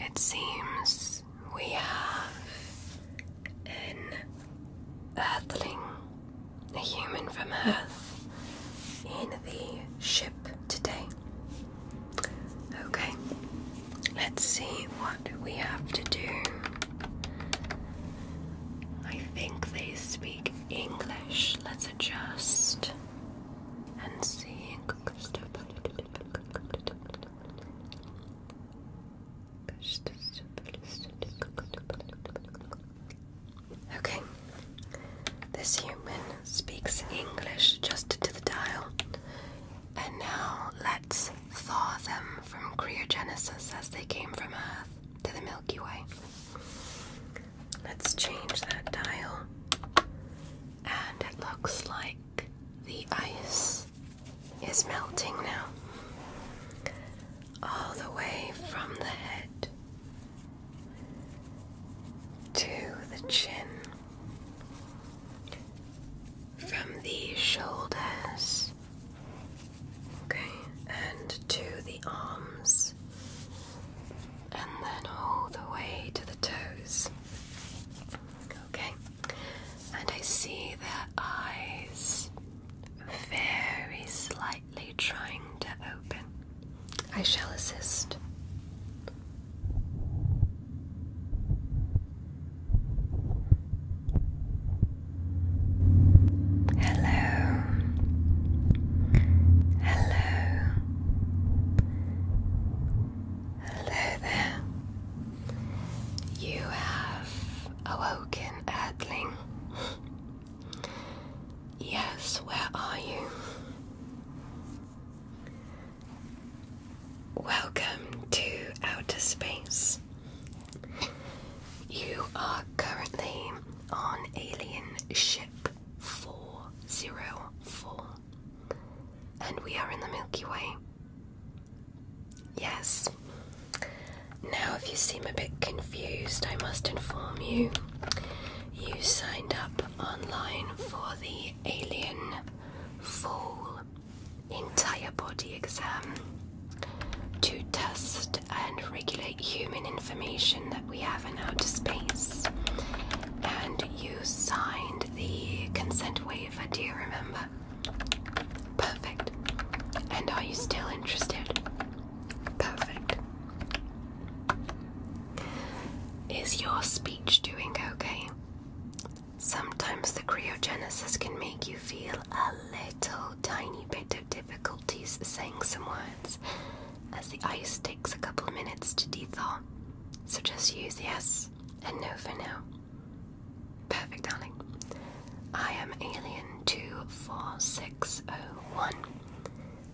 It seems we have an earthling, a human from Earth, in the ship today. Okay, let's see what we have to do. I think they speak English. Let's adjust and see. Okay, this human speaks English Adjusted to the dial, and now let's thaw them from cryogenesis as they came from Earth to the Milky Way. Let's change that dial and it looks like the ice is melting now, all the way from the head to the chin, from the shoulders, okay, and to the arms, and then all the way to the toes. Okay, and I see their eyes very slightly trying to open. I shall assist. Hello. Hello. Hello there. You have awoken, Earthling. yes, where are you? Welcome to outer space. You are currently on alien ship 404 and we are in the Milky Way. Yes. Now, if you seem a bit confused, I must inform you you signed up online for the Alien Full Entire Body Exam to test and regulate human information that we have out to space. And you signed the consent waiver, do you remember? Perfect. And are you still interested? Perfect. Is your speech doing okay? Sometimes the cryogenesis can make you feel a little tiny bit of difficulties saying some words as the ice takes a couple minutes to thaw. So just use yes and no for now. Perfect, darling. I am Alien 24601,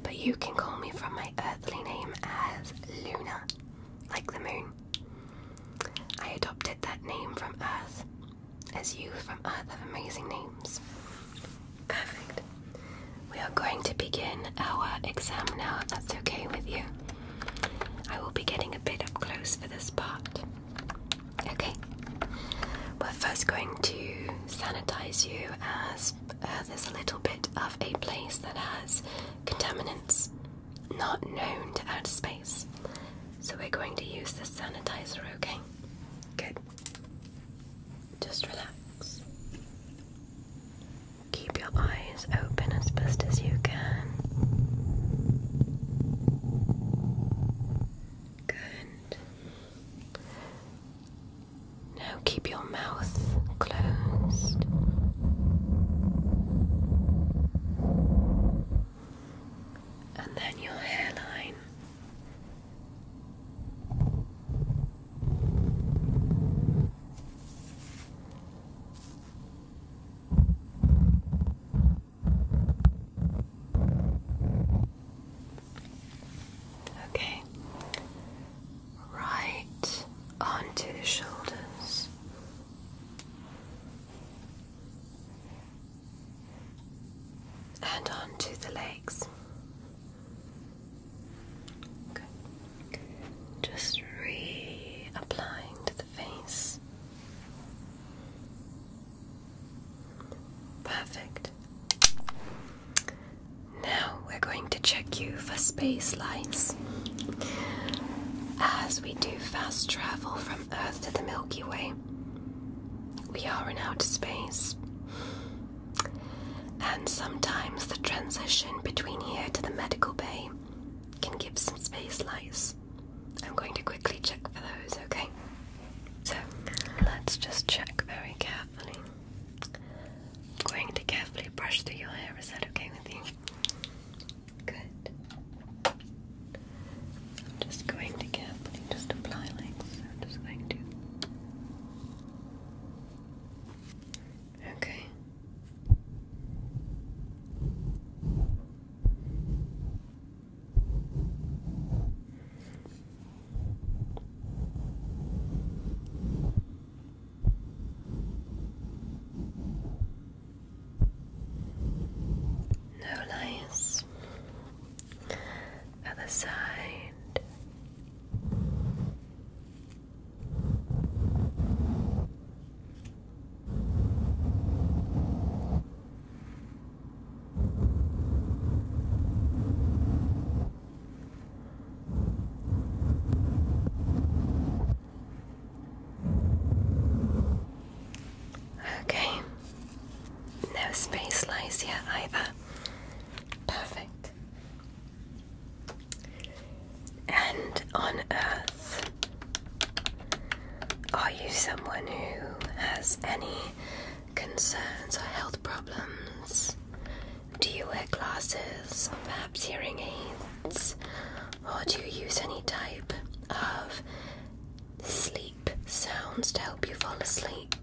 but you can call me from my earthly name as Luna, like the moon. I adopted that name from Earth, as you from Earth have amazing names. Perfect. We are going to begin our exam now, that's okay with you. I will be getting a bit up close for this part. Okay. We're first going to sanitize you as uh, there's a little bit of a place that has contaminants not known to outer space. So we're going to use the sanitizer, okay? Good. Just relax. Keep your eyes open as best as you can. Good. Now keep your mouth closed. And then your hairline. Okay, right onto the shoulders. And onto the legs. Just reapplying to the face. Perfect. Now we're going to check you for space lights. As we do fast travel from Earth to the Milky Way, we are in outer space. And sometimes the transition between here to the medical bay can give some space lights. I'm going to quickly check for those, okay? So let's just check very carefully. I'm going to carefully brush through your hair, is that okay with you? Good. I'm just going to carefully just apply like I'm just going to Okay. No lies. Other side. Okay, no space lies here either. Perfect. And on earth, are you someone who has any concerns or health problems? Do you wear glasses or perhaps hearing aids? Or do you use any type of sleep sounds to help you fall asleep?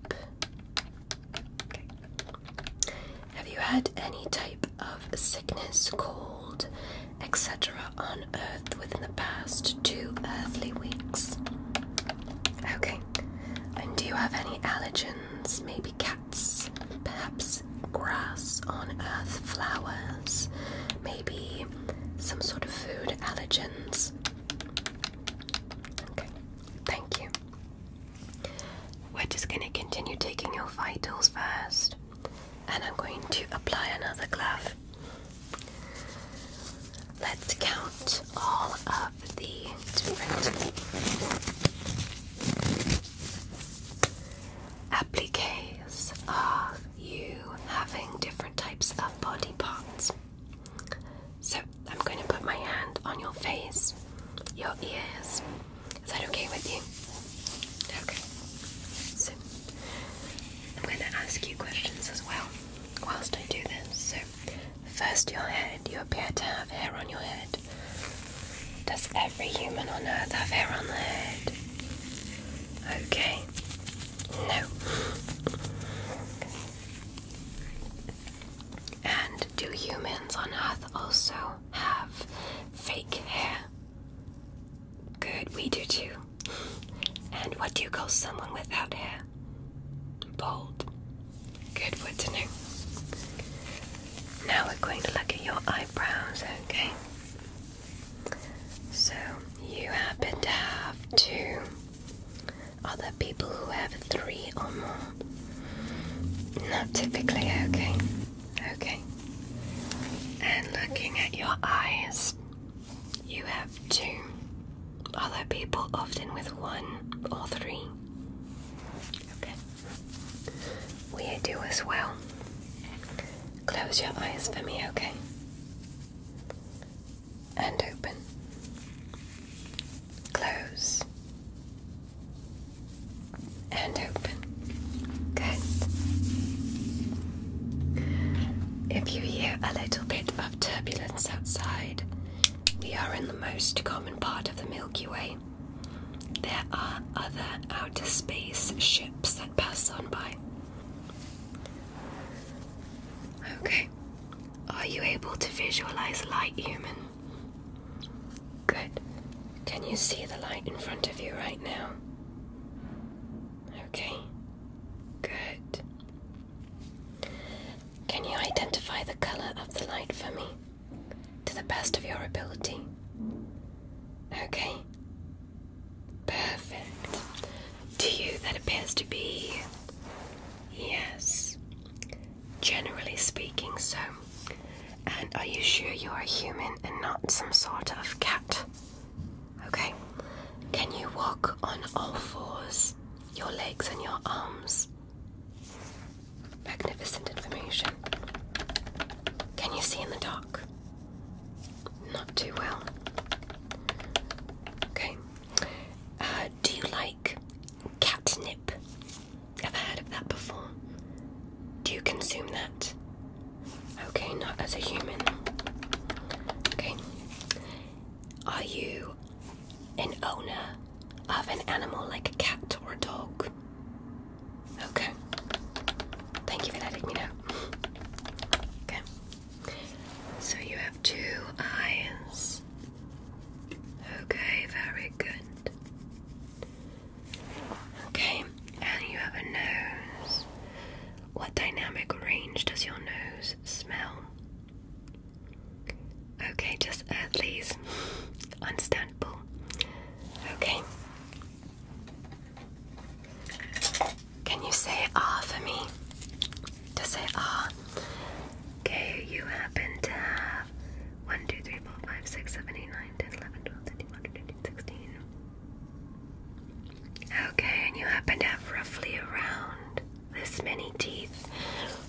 Have you had any type of sickness, cold, etc., on Earth within the past two earthly weeks? Okay. And do you have any allergens? Maybe cats, perhaps grass on Earth, flowers, maybe some sort of food allergens? Okay. Thank you. We're just going to continue taking your vitals first, and I'm going to apply another glove. Let's count all of the different appliques of you having different types of body parts. So I'm going to put my hand on your face, your ears. Is that okay with you? Okay. So, I'm going to ask you questions as well whilst I do this. So, first, your head. You appear to have hair on your head. Does every human on earth have hair on their head? Okay. No. And do humans on Earth also have fake hair? Good, we do too. And what do you call someone without hair? Bald. Good word to know. Now we're going to look at your eyebrows, okay? So, you happen to have two. Other people who have three or more. Not typically, okay. Okay. And looking at your eyes, you have two. Other people often with one or three. Okay. We do as well. Close your eyes for me, okay? And open. Close and open. Good. If you hear a little bit of turbulence outside, we are in the most common part of the Milky Way. There are other outer space ships that pass on by. Okay, are you able to visualize light, human? Good. Can you see the light in front of you right now? Okay. Good. Can you identify the color of the light for me to the best of your ability? Okay. Perfect. To you, that appears to be yes generally speaking, so. And are you sure you are human and not some sort of cat? Okay. Can you walk on all fours, your legs and your arms? Magnificent information. Can you see in the dark? Not too well. Okay. Uh, do you like catnip? Ever heard of that before? Do you consume that? Okay, not as a human. Okay. Are you an owner of an animal like a cat or a dog? Okay. Thank you for letting me know. Okay. So you have two eyes. Okay, very good. Okay, and you have a nose. What dynamic range does your nose smell? Okay, just earthlies. Understandable. Okay. Can you say ah for me? To say ah. Okay, you happen to have 1, 2, 3, 4, 5, 6, 7, 8, 9, 10, 11, 12, 13, 14, 15, 16. Okay, and you happen to have roughly around this many teeth.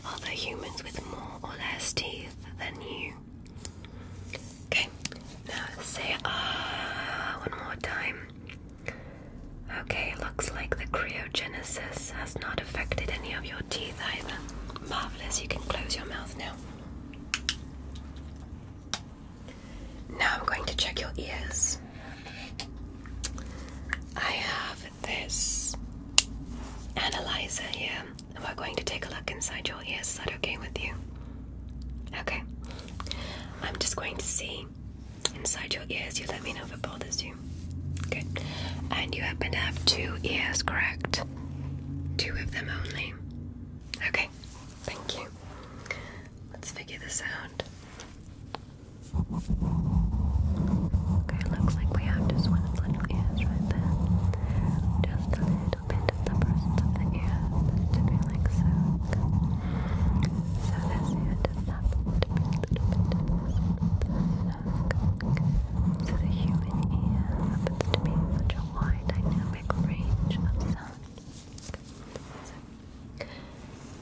Other humans with more or less teeth than you. Okay, now say ah one more time. Okay, looks like the cryogenesis has not affected any of your teeth either. Marvellous, you can close your mouth now. Now I'm going to check your ears. I have this analyzer here, and we're going to take a look inside your ears. Is that okay with you? Okay. I'm just going to see inside your ears. You let me know if it bothers you. Good. And you happen to have two ears, correct? Two of them only. Okay. Thank you. Let's figure this out. Okay, looks like we have just one of the little ears right there. Just a little bit of the presence of the ear to be like so. So this ear does not want to be a little bit snuck the human ear happens to be such a wide dynamic range of sound.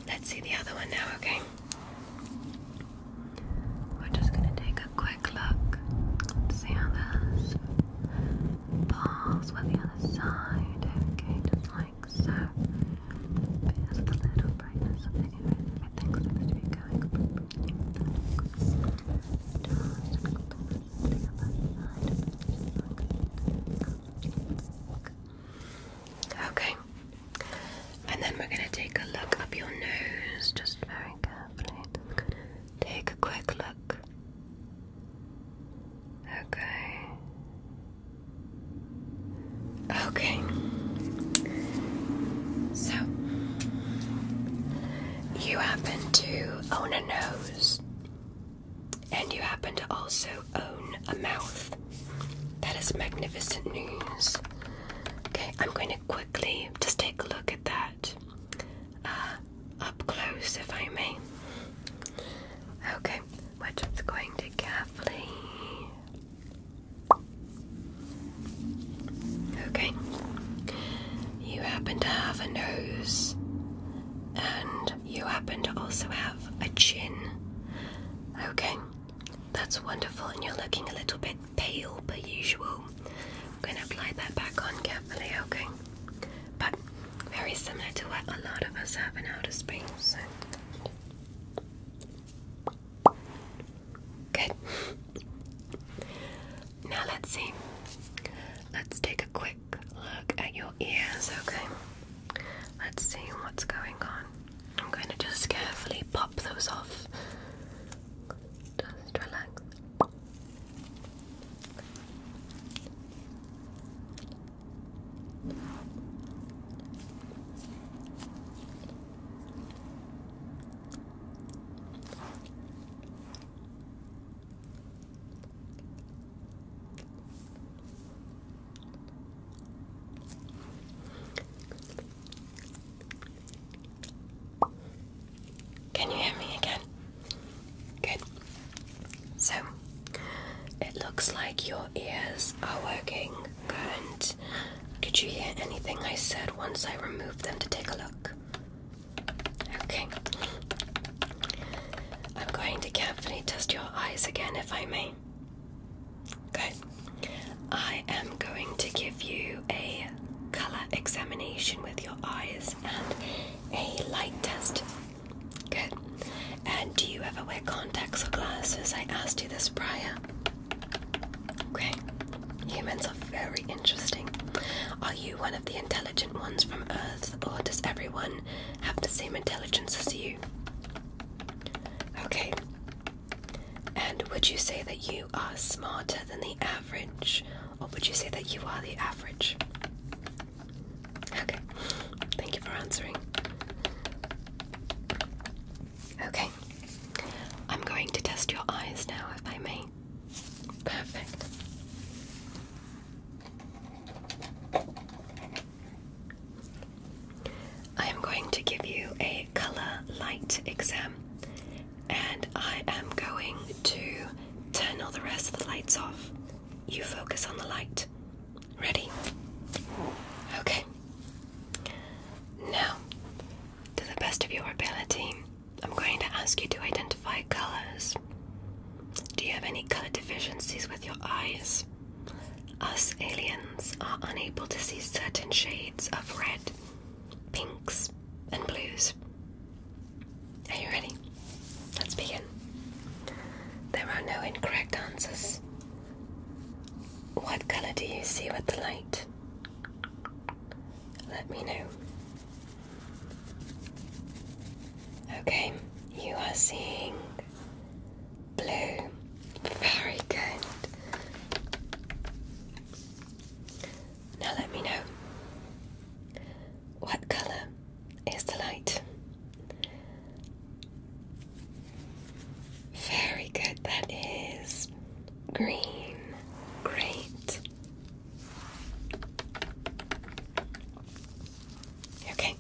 let's see the other one now, okay? We're just going to take a quick look to see how this pulls with the other side, okay? Just like so. Here's the little Okay. And then we're going to take a look up your nose just very carefully. Take a quick look. Okay. Okay. So, you happen to own a nose, and you happen to also own a mouth. That is magnificent news. Okay, I'm going to quickly just take a look at that uh, up close, if I may. Okay, we're just going to carefully Okay. You happen to have a nose, and you happen to also have a chin. Okay, that's wonderful, and you're looking a little bit pale per usual. I'm going to apply that back on carefully, okay? But very similar to what a lot of us have in outer space. Good. Now let's see. Let's take a quick look at your ears, okay? Let's see what's going on. I'm going to just carefully pop those off. Just relax. Can you hear me again? Good. So it looks like your ears are working Good. Could you hear anything I said once I removed them to take a look? Okay. I'm going to carefully test your eyes again, if I may. Good. I am going to give you a color examination with your eyes and a light test. Good. And do you ever wear contacts or glasses? I asked you this prior. Okay, humans are very interesting. Are you one of the intelligent ones from Earth, or does everyone have the same intelligence as you? Okay, and would you say that you are smarter than the average, or would you say that you are the average? Okay, thank you for answering. Okay, I'm going to test your eyes now, if I may. Perfect. I am going to give you a color light exam, and I am going to turn all the rest of the lights off. You focus on the light. Ready? Okay. Now, to the best of your ability, I'm going to ask you to identify colors. Do you have any color deficiencies with your eyes? Us aliens are unable to see certain shades of red, pinks, and blues. Are you ready? Let's begin. There are no incorrect answers. What colour do you see with the light? Let me know. Okay, you are seeing blue. Very good. Now let me know. What colour is the light? Very good. That is green. Great. Okay.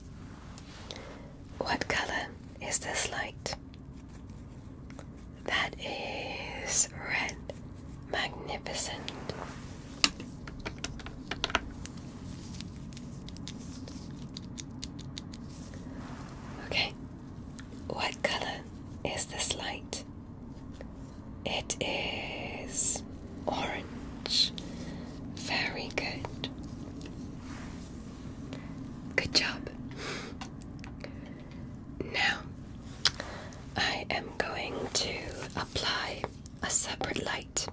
What color is this light? That is red. Magnificent. Okay, what color is this light? It is orange. Very good. Good job. Now, I am going to apply a separate light.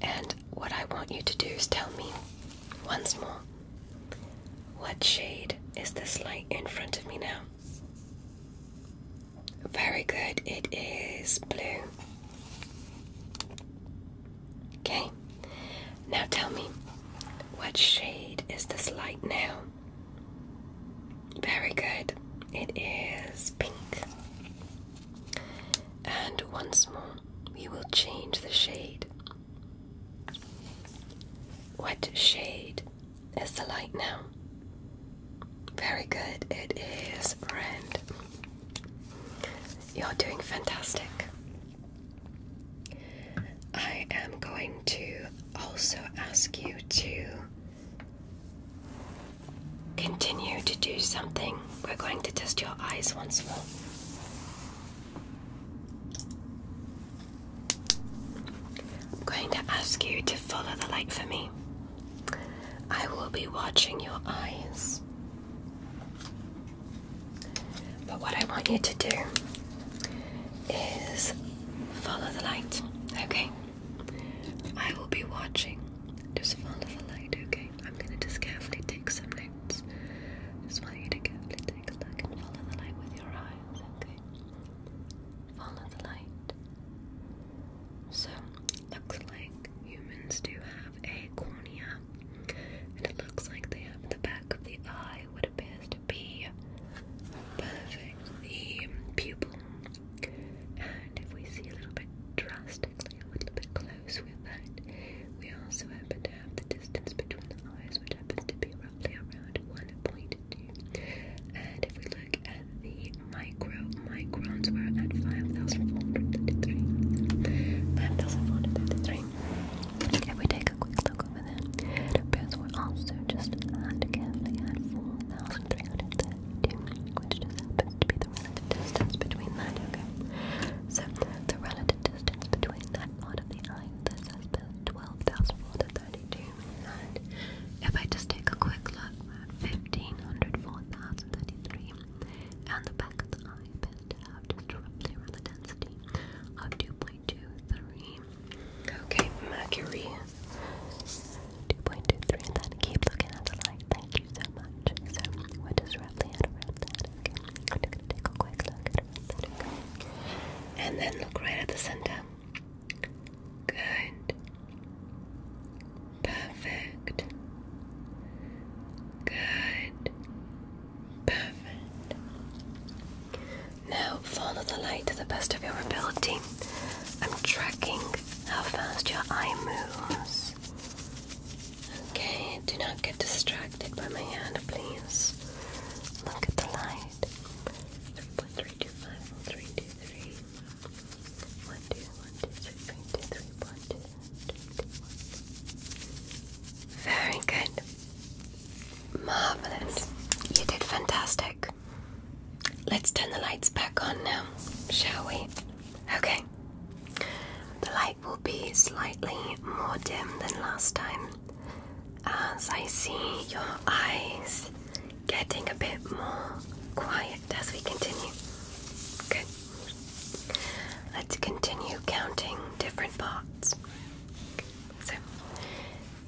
And what I want you to do is tell me once more what shade is this light in front of me now? Very good, it is blue. Okay, now tell me, what shade is this light now? Very good, it is pink. And once more, we will change the shade what shade is the light now? Very good, it is red. You're doing fantastic. I am going to also ask you to continue to do something. We're going to test your eyes once more. I'm going to ask you to follow the light for me. I will be watching your eyes. But what I want you to do is follow the light, okay? I will be watching. Just follow the light, okay? I'm going to just carefully take something lights. Just want you to carefully take a look and follow the light with your eyes, okay? Follow the light. So, looks like humans do have a cornea, and it looks like they have the back of the eye, would appear to be perfect, the pupil. And if we see a little bit drastically, a little bit closer, close with We also happen to have the distance between the eyes, which happens to be roughly around 1.2. And if we look at the micro microns, we're at 5,433. 5,433. If we take a quick look over there, it appears also just at carefully at 4,332, which just happens to be the relative distance between that, okay? So the relative distance between that part of the eye and this 12,432 and if I just take a quick look at and the back of the eye appears to roughly around the density of 2.23 okay, mercury 2.23 then keep looking at the light thank you so much so we're and then look right at the center. Good. Perfect. Good. Perfect. Now follow the light to the best of your ability. I'm tracking how fast your eye moves. Okay, do not get distracted by my hand, please. Look at the light. 3.325, Very good. Marvelous. You did fantastic. Let's turn the lights back on now, shall we? Okay. The light will be slightly more dim than last time as I see your eyes getting a bit more quiet as we continue. Good. Let's continue counting different parts. So,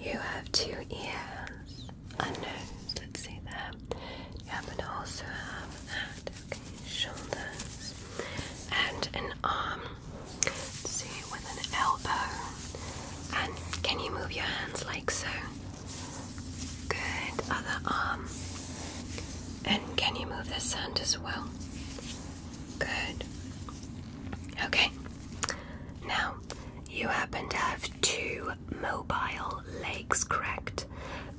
you have two ears, a nose, let's see there. You happen to also have that shoulders and an arm. see, with an elbow. And can you move your hands like so? Good. Other arm. And can you move this hand as well? Good. Okay. Now, you happen to have two mobile legs, correct?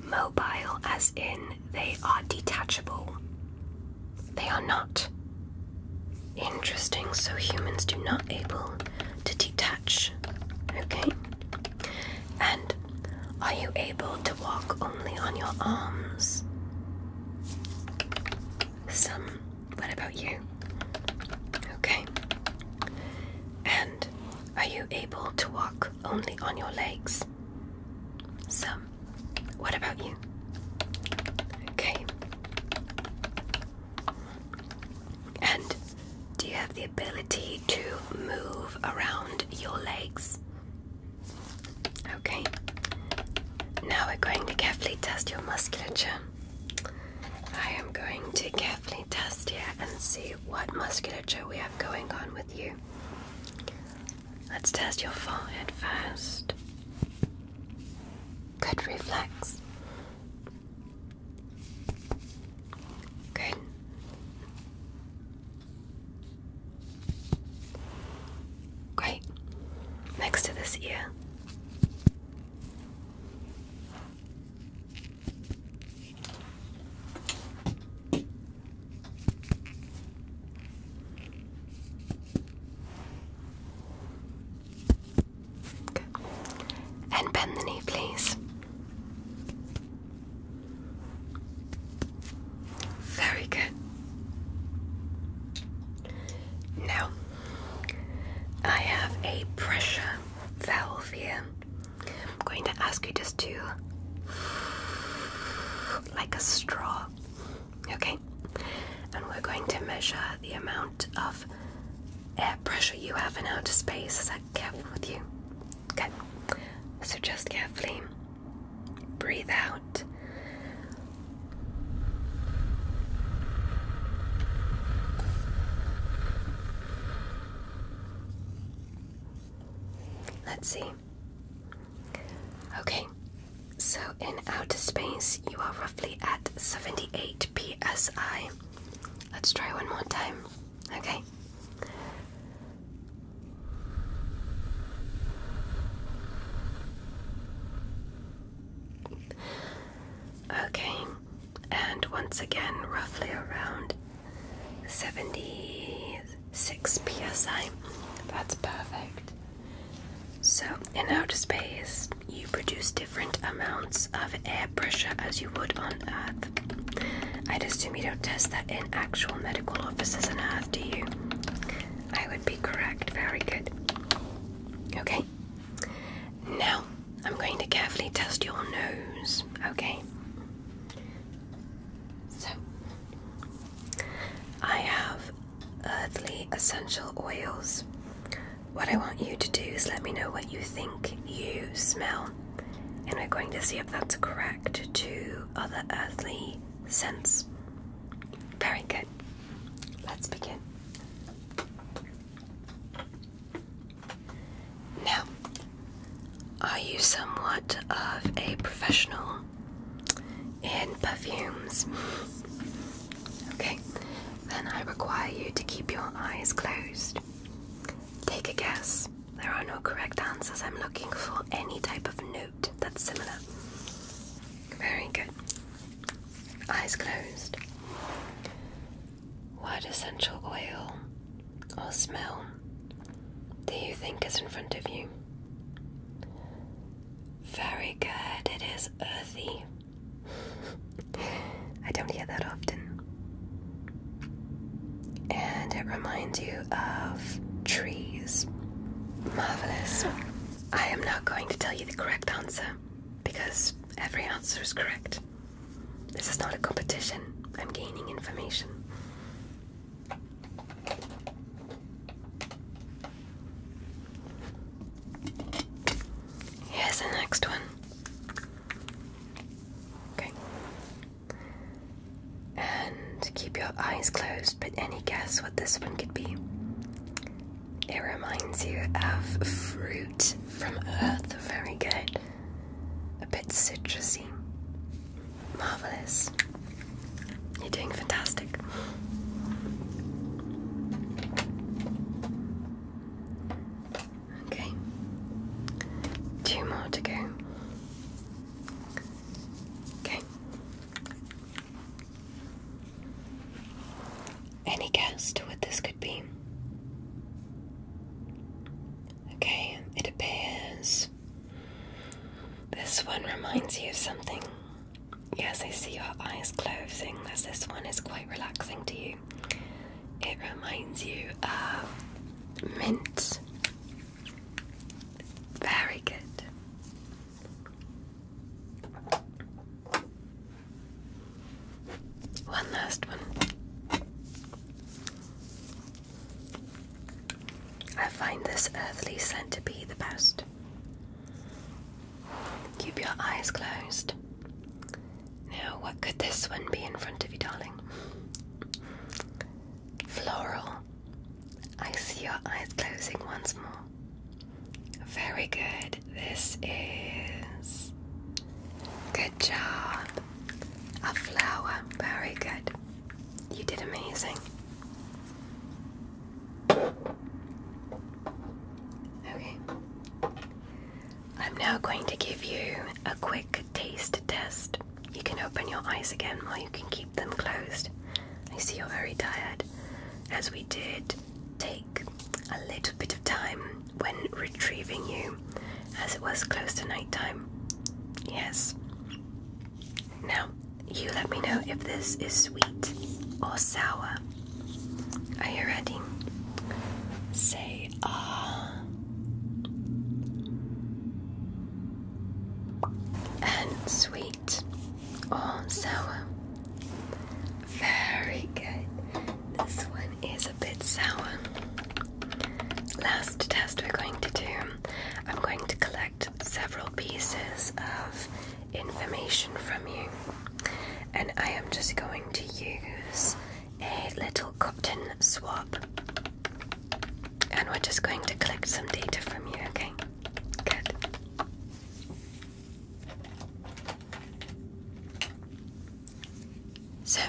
Mobile as in they are detachable. They are not. Interesting, so humans do not able to detach. Okay. And are you able to walk only on your arms? Some. What about you? Okay. And are you able to walk only on your legs? Some. What about you? Okay. And do you have the ability to move around your legs? Okay. Now we're going to carefully test your musculature. I am going to carefully test here and see what musculature we have going on with you. Let's test your forehead first. Good reflex. Good. Great. Next to this ear. And bend the knee, please. Very good. Now, I have a pressure valve here. I'm going to ask you just to like a straw. Okay? And we're going to measure the amount of air pressure you have in outer space. Is that Okay. So just carefully breathe out. Let's see. Okay, so in outer space, you are roughly at 78 psi. Let's try one more time. Okay. Okay, and once again, roughly around 76 psi. That's perfect. So, in outer space, you produce different amounts of air pressure as you would on Earth. I'd assume you don't test that in actual medical offices on Earth, do you? I would be correct. Very good. Okay. Now, I'm going to carefully test your nose, okay? So, I have earthly essential oils. What I want you to do is let me know what you think you smell, and we're going to see if that's correct to other earthly scents. Very good. Let's begin. Now, are you somewhat of a professional in perfumes? okay, then I require you to keep your eyes closed. Take a guess. There are no correct answers. I'm looking for any type of note that's similar. Very good. Eyes closed. What essential oil or smell do you think is in front of you? Very good, it is earthy. I don't hear that often. And it reminds you of trees. Marvelous. I am not going to tell you the correct answer because every answer is correct. This is not a competition, I'm gaining information. Here's the next one. Okay. And keep your eyes closed, but any guess what this one could be? It reminds you of fruit from Earth. Very good. A bit citrusy. Marvelous. You're doing fantastic. Okay. Two more to go. Okay. Any guess what this could be? Okay, it appears this one reminds you of something. Yes, I see your eyes closing as this one is quite relaxing to you. It reminds you of mint. Very good. One last one. I find this earthly scent to be the best. Keep your eyes closed. Now, what could this one be in front of you, darling? Floral. I see your eyes closing once more. Very good. This is. Good job. A flower. Very good. You did amazing. Okay. I'm now going to give you a quick taste test. You can open your eyes again or you can keep them closed. I see you're very tired. As we did take a little bit of time when retrieving you, as it was close to night time. Yes, now, you let me know if this is sweet or sour. Are you ready? Say ah. And sweet or sour. Very good. This one is a bit sour. Last test we're going to do, I'm going to collect several pieces of information from you, and I am just going to use a little cotton swab, and we're just going to collect some data from you, okay? Good. So,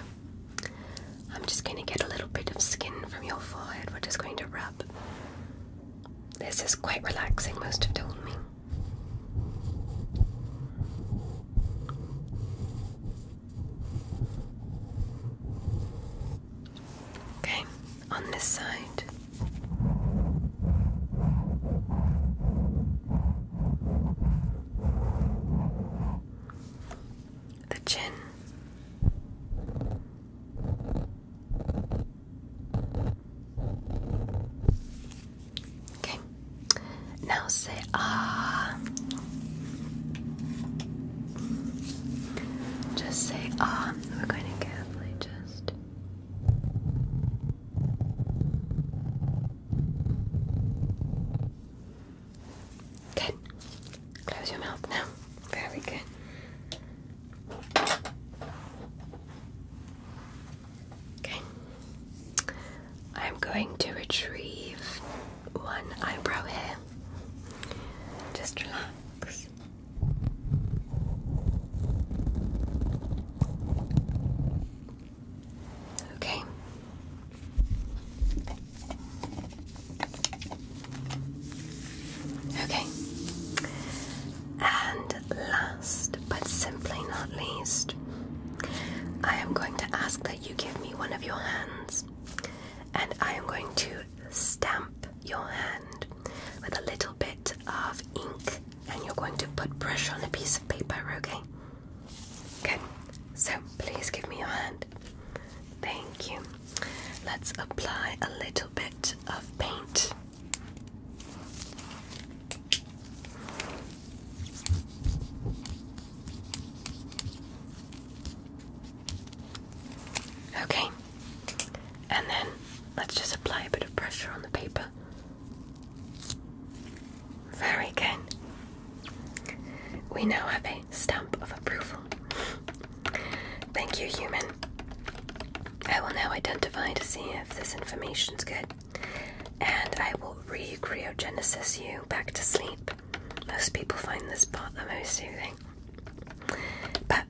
I'm just going to get a little bit of skin from your forehead. We're just going to rub. This is quite relaxing, most have told me. Okay, on this side the chin. Okay. Now say ah. Just say ah. We're going to carefully just. Good. Close your mouth now. Very good. Okay. I'm going to retrieve one eyebrow here. Just relax. Okay. Okay. And last but simply not least, I am going to ask that you give me one of your hands and I am going to stamp your hand with a little bit of ink and you're going to put pressure on a piece of paper, okay? Okay, so please give me your hand. Thank you. Let's apply a little bit of paint. Okay, and then let's just apply a bit of pressure on the paper. Very good. We now have stamp of approval. Thank you, human. I will now identify to see if this information's good, and I will re cryogenesis you back to sleep. Most people find this part the most soothing. But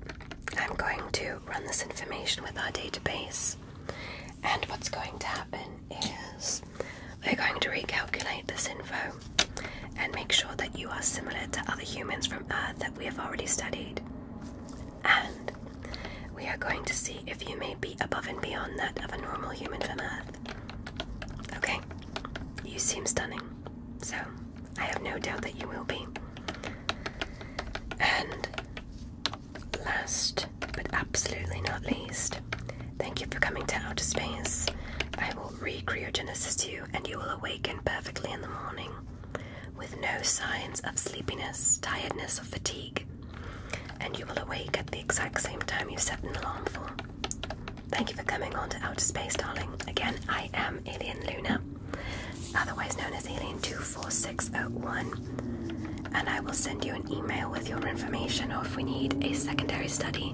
I'm going to run this information with our database, and what's going to happen is we're going to recalculate this info and make sure that you are similar to other humans from Earth that we have already studied. And we are going to see if you may be above and beyond that of a normal human from Earth. Okay? You seem stunning, so I have no doubt that you will be. And last but absolutely not least, thank you for coming to outer space. I will recryogenesis you, and you will awaken perfectly in the morning with no signs of sleepiness, tiredness, or fatigue. And you will awake at the exact same time you set an alarm for. Thank you for coming on to Outer Space, darling. Again, I am Alien Luna, otherwise known as Alien24601, and I will send you an email with your information or if we need a secondary study.